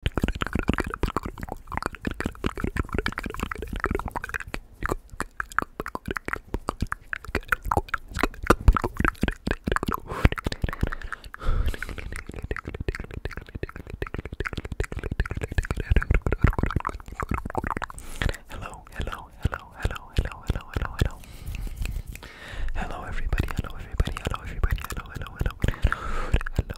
Hello, hello, hello, hello, hello, hello, hello, hello. Hello everybody, hello everybody, hello everybody, hello, hello, hello, hello, hello,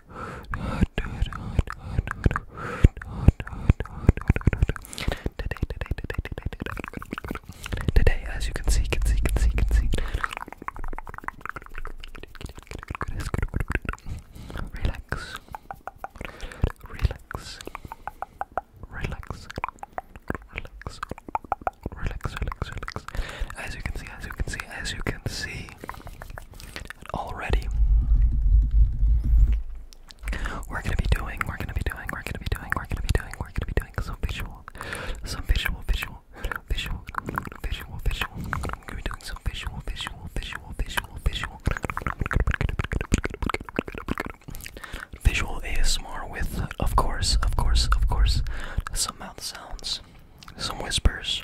Today, today, today, today, today. Today, as you can see, can see, can see, can see. Relax. Relax. Relax. Relax. Relax. Relax. Relax relax. As you can see, as you can see, as you can see, already we're gonna be doing, we're gonna be doing, we're gonna be doing, we're gonna be doing, we're gonna be doing some visual, some visual, visual, visual, visual, visual. We're gonna be doing some visual, visual, visual, visual, visual. Visual ASMR with, of course, of course, of course, some mouth sounds, some whispers,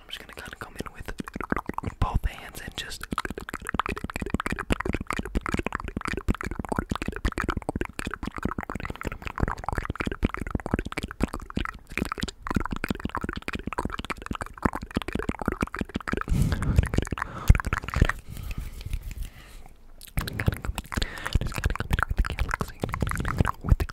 I'm just gonna kind of come in with both hands and just. Just gotta come in with the galaxy, with the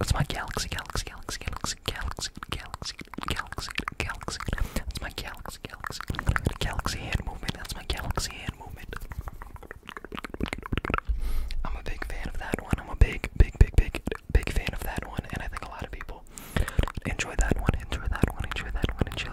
That's my galaxy, galaxy, galaxy, galaxy, galaxy, galaxy, galaxy, galaxy. That's my galaxy, galaxy, galaxy hand movement. That's my galaxy hand movement. I'm a big fan of that one. I'm a big, big, big, big, big fan of that one, and I think a lot of people enjoy that one. Enjoy that one. Enjoy that one. Enjoy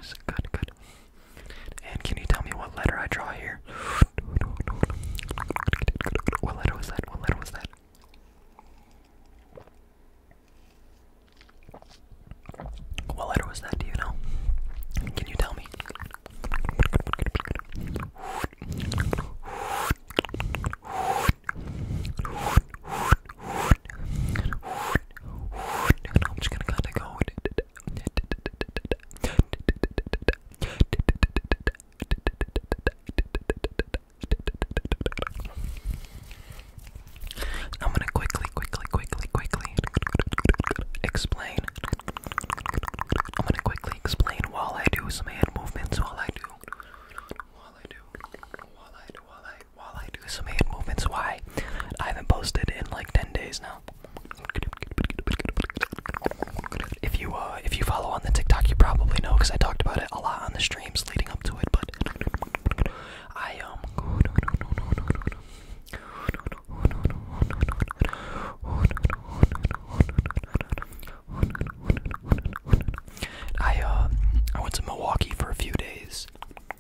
Good, good. And can you tell me what letter I draw here? What letter was that? What letter was that? What letter was that? Do you know? Can you tell me? I'm just gonna kinda go I'm gonna quickly, quickly, quickly, quickly explain. I'm gonna quickly explain while I do some hand movements, while I do, while I do, while I do, while I while I do some hand movements. Why? I haven't posted in like 10 days now. If you uh, if you follow on the TikTok, you probably know because I talked about it a lot on the streams leading up to it. But I um. I uh I went to Milwaukee for a few days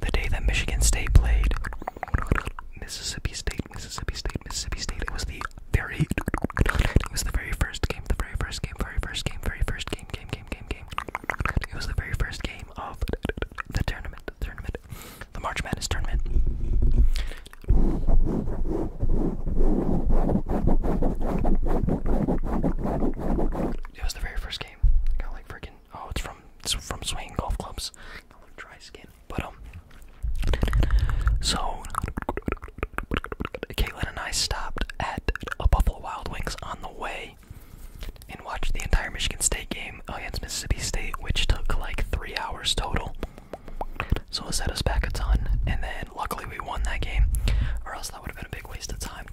the day that Michigan State played Mississippi State, Mississippi State, Mississippi State. It was the very, it was the very first game, the very first game, very first game, very first game, game, game, game, game. It was the very first game of the tournament, the tournament, the March Madness tournament. It was the very first game. Got like freaking Oh, it's from it's from Swing Golf Clubs. dry skin, but um. So Caitlin and I stopped at a Buffalo Wild Wings on the way and watched the entire Michigan State game against Mississippi State, which took like three hours total. So it set us back a ton, and then luckily we won that game, or else that would have been a big waste of time.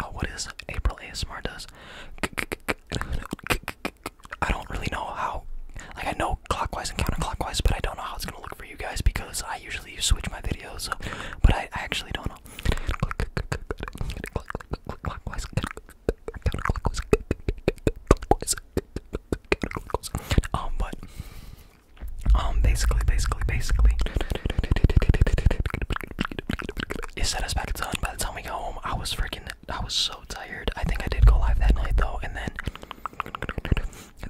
Oh, what is April ASMR does? I don't really know how. Like I know clockwise and counterclockwise, but I don't know how it's gonna look for you guys because I usually switch my videos. but I, actually don't know. Clockwise, counterclockwise, counterclockwise. Um, but um, basically, basically, basically. It set us back a ton. By the time we got home, I was freaking. I was so tired. I think I did go live that night though, and then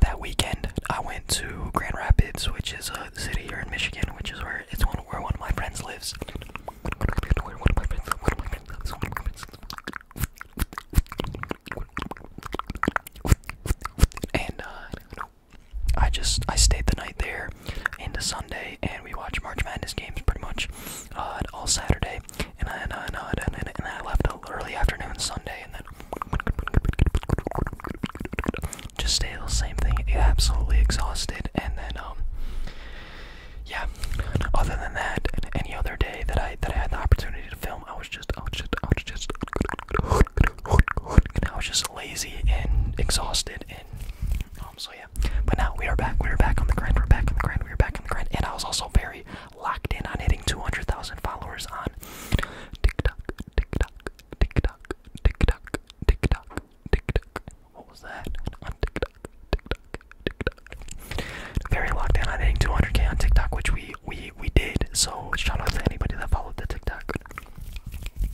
that weekend I went to Grand Rapids, which is a city here in Michigan, which is where it's one where one of my friends lives. Where one of my friends, And uh, I just I stayed the night there into Sunday, and we watched March Madness games pretty much uh, all Saturday, and then uh, and I, uh, and I, I, left early afternoon Sunday, and then just stayed the same thing, absolutely exhausted, and then um yeah. Other than that, any other day that I that I had the opportunity to film, I was just I was just I was just and I was just lazy and exhausted insane. Um, so yeah, but now we are back. We are back on the grind. We're back on the grind. We are back on the grind. And I was also very locked in on hitting 200,000 followers on TikTok, TikTok, TikTok, TikTok, TikTok, TikTok. What was that? On TikTok, TikTok, TikTok. Very locked in on hitting 200k on TikTok, which we we we did. So shout out to anybody that followed the TikTok.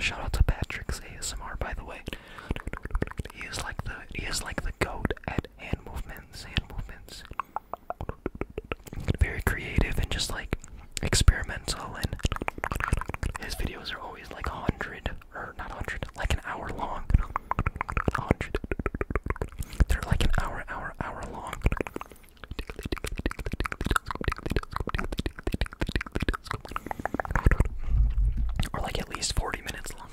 Shout out to Patrick's ASMR, by the way. He is like the he is like the goat at hand movements, hand movements. Very creative and just like experimental, and his videos are always like a hundred or not hundred, like an hour long. Hundred. They're like an hour, hour, hour long. Or like at least 40 minutes long.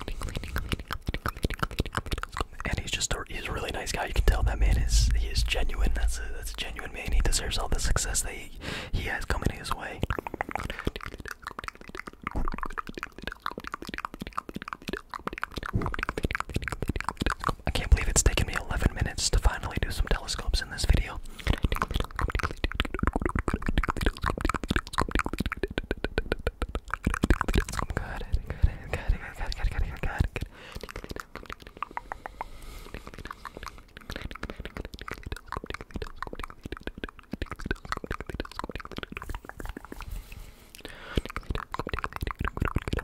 And he's just a, he's really nice guy. You can tell that man is he is genuine. That's a that's genuine man. He deserves all the success that he, he has coming his way. I can't believe it's taken me 11 minutes to finally do some telescopes in this video.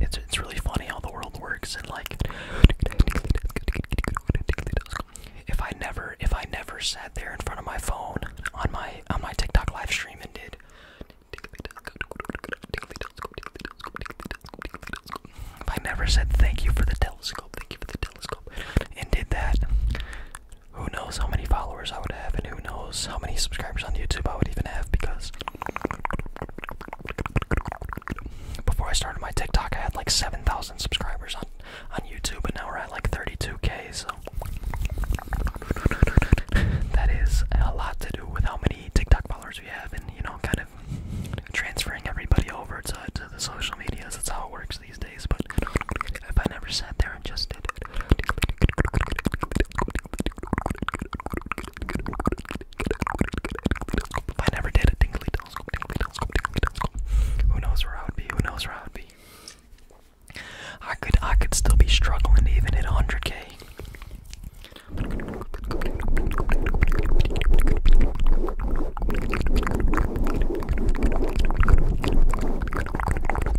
It's it's really funny how the world works and like if I never if I never sat there in front of my phone on my on my TikTok live stream and did if I never said thank you for the telescope, thank you for the telescope, and did that, who knows how many followers I would have, and who knows how many subscribers on YouTube I would even have because before I started my TikTok, I had like 7,000 subscribers on, on YouTube, and now we're at like 32k, so that is a lot to do with how many TikTok followers we have, and you know, kind of transferring everybody over to, to the social media. That's how it works these days, but if I never sat there and just did it. If I never did a who knows where I would be, who knows where I would be. I could I could still be struggling even at 100k.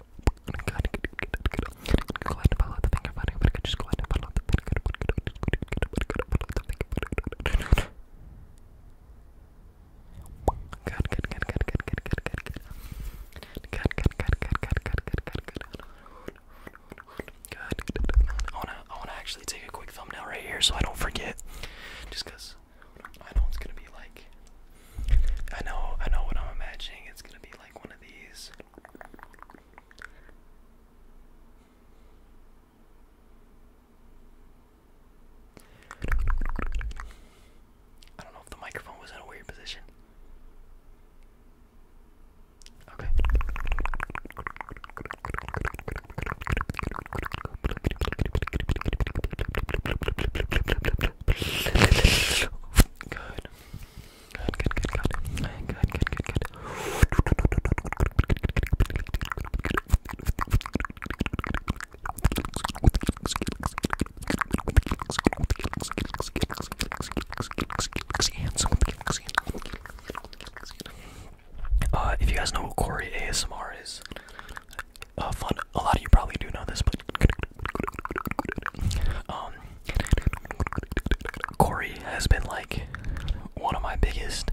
I wanna, I wanna actually take a quick thumbnail right here so I don't forget. Just cause I know it's gonna be like. I know, I know what I'm imagining. It's gonna be like one of these. I don't know if the microphone was in a weird position. Okay. Good. Good, good, good, good. Good, good, good, good. Uh, if you guys know what Corey ASMR is, uh, fun. A lot of you probably do know this, but um, Corey has been like one of my biggest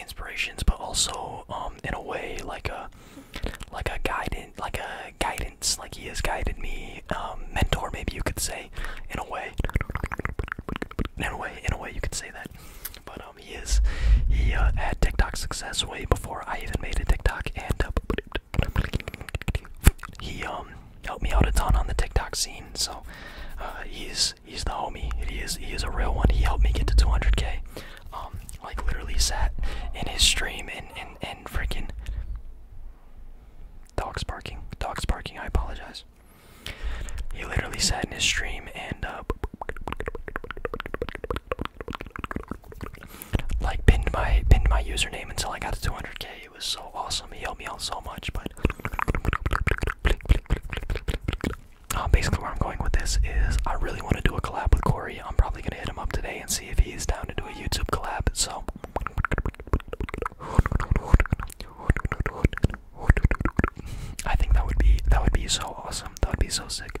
inspirations, but also um, in a way like a like a guidance, like a guidance, like he has guided me, um, mentor, maybe you could say, in a way. In a way, in a way, you could say that. But um, he is he uh, had TikTok success way before I even made a TikTok, and uh, he um helped me out a ton on the TikTok scene. So uh, he's he's the homie. He is he is a real one. He helped me get to 200k. Um, like literally sat in his stream and and and freaking dogs barking, dogs barking. I apologize. He literally sat in his stream and uh, like pinned my pinned my username until I got to 200k. It was so awesome. He helped me out so much. But uh, basically, where I'm going with this is I really want to do a collab with Corey. I'm probably gonna hit him up today and see if he's down to do a YouTube collab. So. I think that would be that would be so awesome. That would be so sick.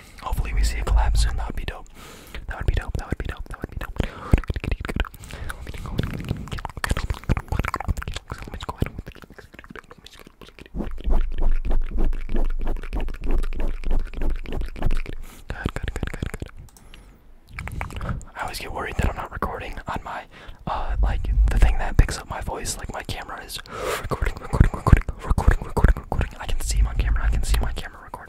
Hopefully we see a collapse. soon. That would be dope. That would be dope. That would be dope. That would be dope. I always get worried that I'm not recording on my, uh, like, the thing that picks up my voice, like my camera is recording, recording, recording, recording, recording, recording. I can see my camera, I can see my camera recording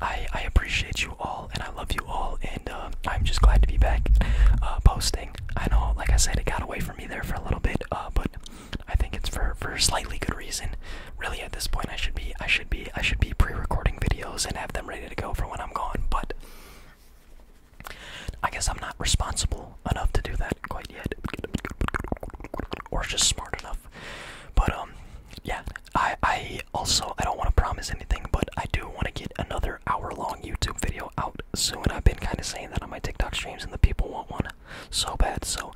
I, I appreciate you all and I love you all and uh, I'm just glad to be back uh, posting. I know, like I said, it got away from me there for a little bit, uh, but I think it's for for slightly good reason. Really, at this point, I should be I should be I should be pre-recording videos and have them ready to go for when I'm gone. But I guess I'm not responsible enough to do that quite yet, or just smart enough. But um, yeah, I I also, I don't want to promise anything, but I do want to get another hour long YouTube video out soon. I've been kind of saying that on my TikTok streams, and the people want one so bad. So,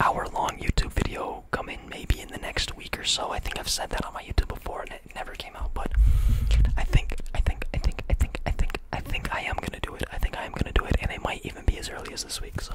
hour long YouTube video coming maybe in the next week or so. I think I've said that on my YouTube before, and it never came out. But I think, I think, I think, I think, I think, I think I am gonna do it. I think I am gonna do it, and it might even be as early as this week. So,